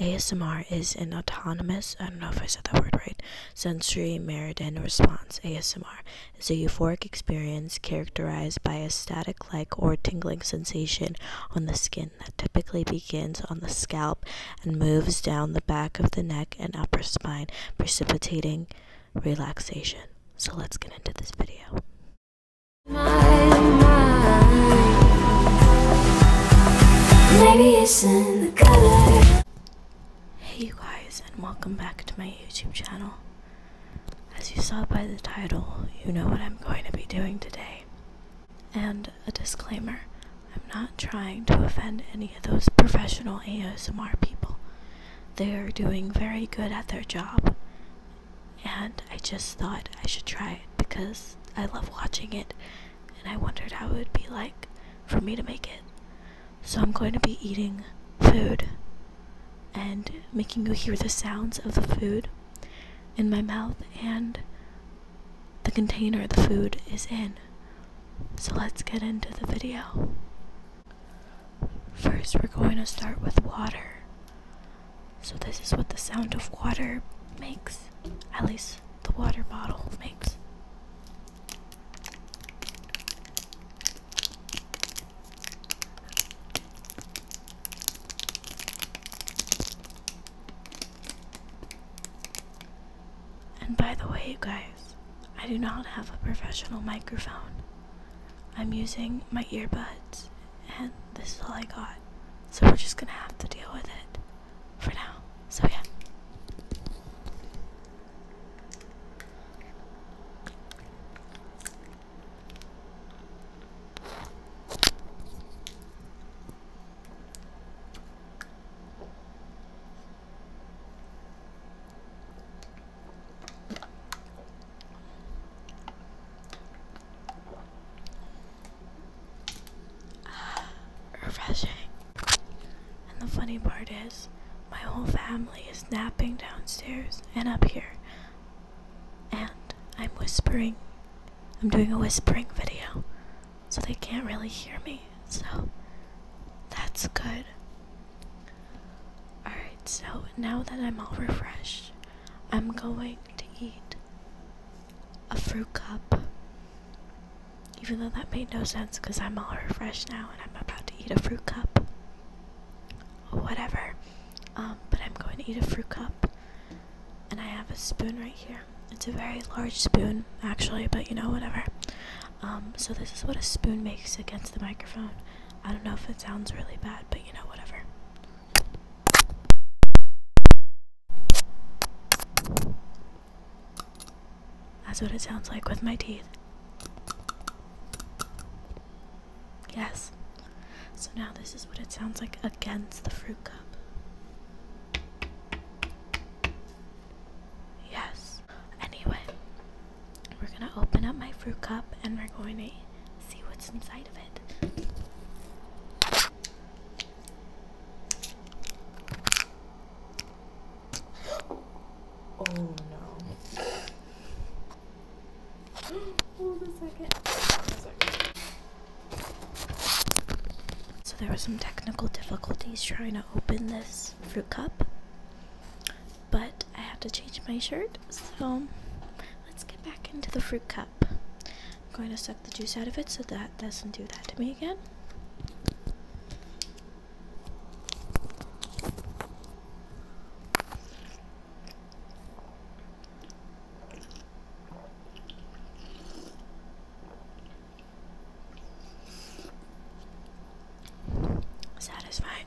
ASMR is an autonomous, I don't know if I said that word right, sensory meridian response. ASMR is a euphoric experience characterized by a static like or tingling sensation on the skin that typically begins on the scalp and moves down the back of the neck and upper spine, precipitating relaxation. So let's get into this video. Hey you guys and welcome back to my YouTube channel. As you saw by the title, you know what I'm going to be doing today. And a disclaimer, I'm not trying to offend any of those professional ASMR people. They are doing very good at their job and I just thought I should try it because I love watching it and I wondered how it would be like for me to make it. So I'm going to be eating food and making you hear the sounds of the food in my mouth and the container the food is in. So let's get into the video. First, we're going to start with water. So, this is what the sound of water makes, at least the water bottle makes. And by the way, you guys, I do not have a professional microphone. I'm using my earbuds, and this is all I got. So we're just gonna have to deal with it for now. So, yeah. refreshing. And the funny part is, my whole family is napping downstairs and up here. And I'm whispering. I'm doing a whispering video. So they can't really hear me. So that's good. Alright, so now that I'm all refreshed, I'm going to eat a fruit cup. Even though that made no sense because I'm all refreshed now and I'm about to eat a fruit cup. Whatever. Um, but I'm going to eat a fruit cup. And I have a spoon right here. It's a very large spoon, actually, but you know, whatever. Um, so this is what a spoon makes against the microphone. I don't know if it sounds really bad, but you know, whatever. That's what it sounds like with my teeth. Yes. So now this is what it sounds like against the fruit cup. Yes. Anyway, we're going to open up my fruit cup and we're going to see what's inside of it. Oh no. Hold a second. So there were some technical difficulties trying to open this fruit cup but I have to change my shirt, so let's get back into the fruit cup. I'm going to suck the juice out of it so that doesn't do that to me again. Satisfying.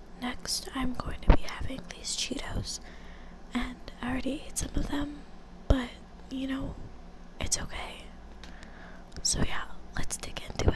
Next, I'm going to be having these Cheetos, and I already ate some of them, but you know, it's okay. So, yeah, let's dig into it.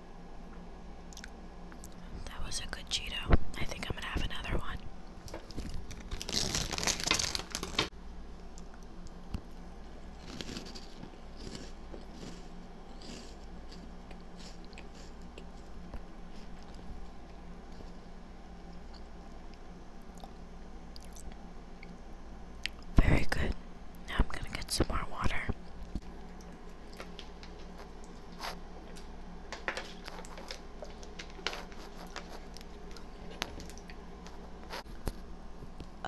That was a good Cheeto. I think I'm gonna have another one. Very good. Now I'm going to get some more water.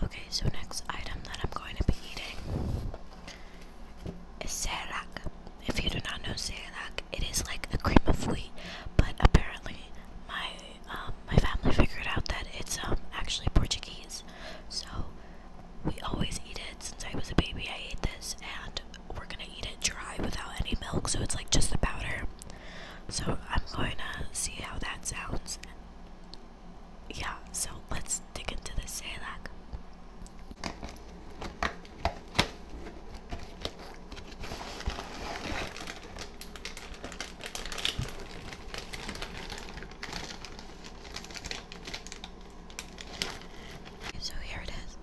Okay, so next item that I'm going to be eating is Serac. If you do not know Serac, it is like a cream of wheat, but apparently my um, my family figured out that it's um, actually Portuguese. So we always eat it since I was a baby. I ate this, and we're gonna eat it dry without any milk. So it's like just the powder. So I'm going to see how that sounds. Yeah. So let's dig into this salad. So here it is.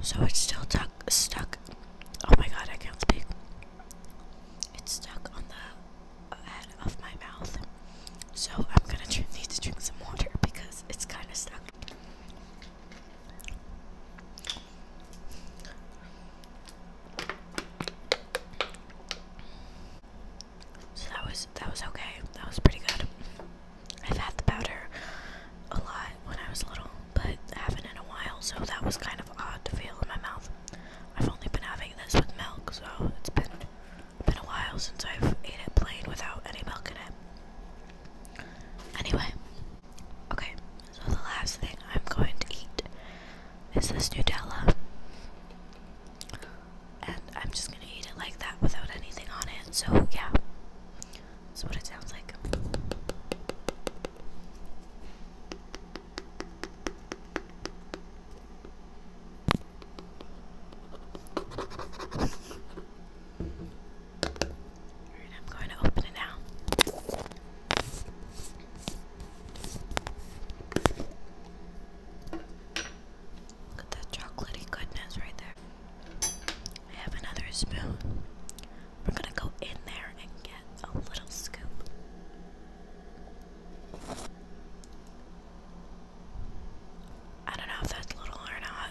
So it's still tuck, stuck. Oh my god, I can't speak. It's stuck on the head of my mouth. So I'm gonna need to drink some water because it's kind of stuck. So that was that was okay. That was pretty good. I've had the powder a lot when I was little, but I haven't in a while, so that was kind of odd to feel in my mouth. I've only been having this with milk, so it's been been a while since I've ate it plain without any milk in it. Anyway, okay, so the last thing I'm going to eat is this Nutella and I'm just gonna eat it like that without anything on it. So, yeah, that's what it sounds like. I'm going to open it now. Look at that chocolatey goodness right there. I have another spoon. We're gonna go in there and get a little scoop. I don't know if that's little or not.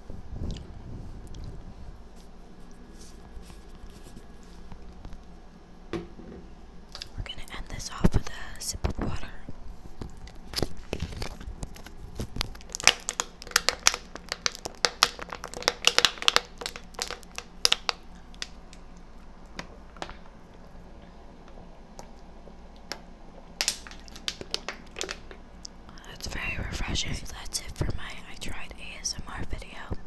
We're going to end this off with a sip of water. That's very refreshing. That's it for my I Tried ASMR video.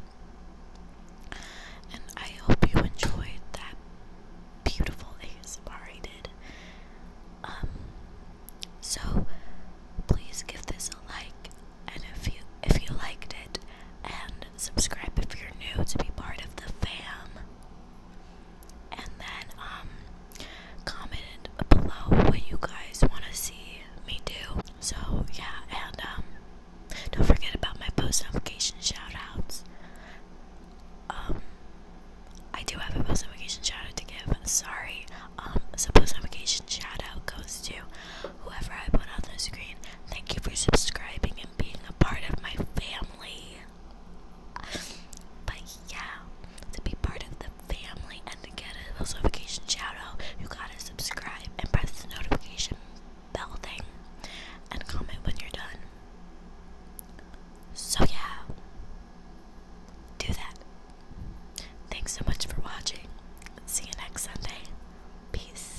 And I hope you enjoyed that beautiful ASMR I did. Um, so please give this a like and if you if you liked it and subscribe if you're new to be part of the fam. And then um comment below what you guys want to see me do. So yeah, and um, don't forget about my post notification shout outs. Um, I do have a post notification shout out to give. Sorry. Um, so post notification shout out goes to whoever I put on the screen. Thank you for subscribing and being a part of my family. But yeah, to be part of the family and to get a notification shout you gotta subscribe and press the notification bell thing and comment when you're done. So, yeah, do that. Thanks so much for watching. See you next Sunday. Peace.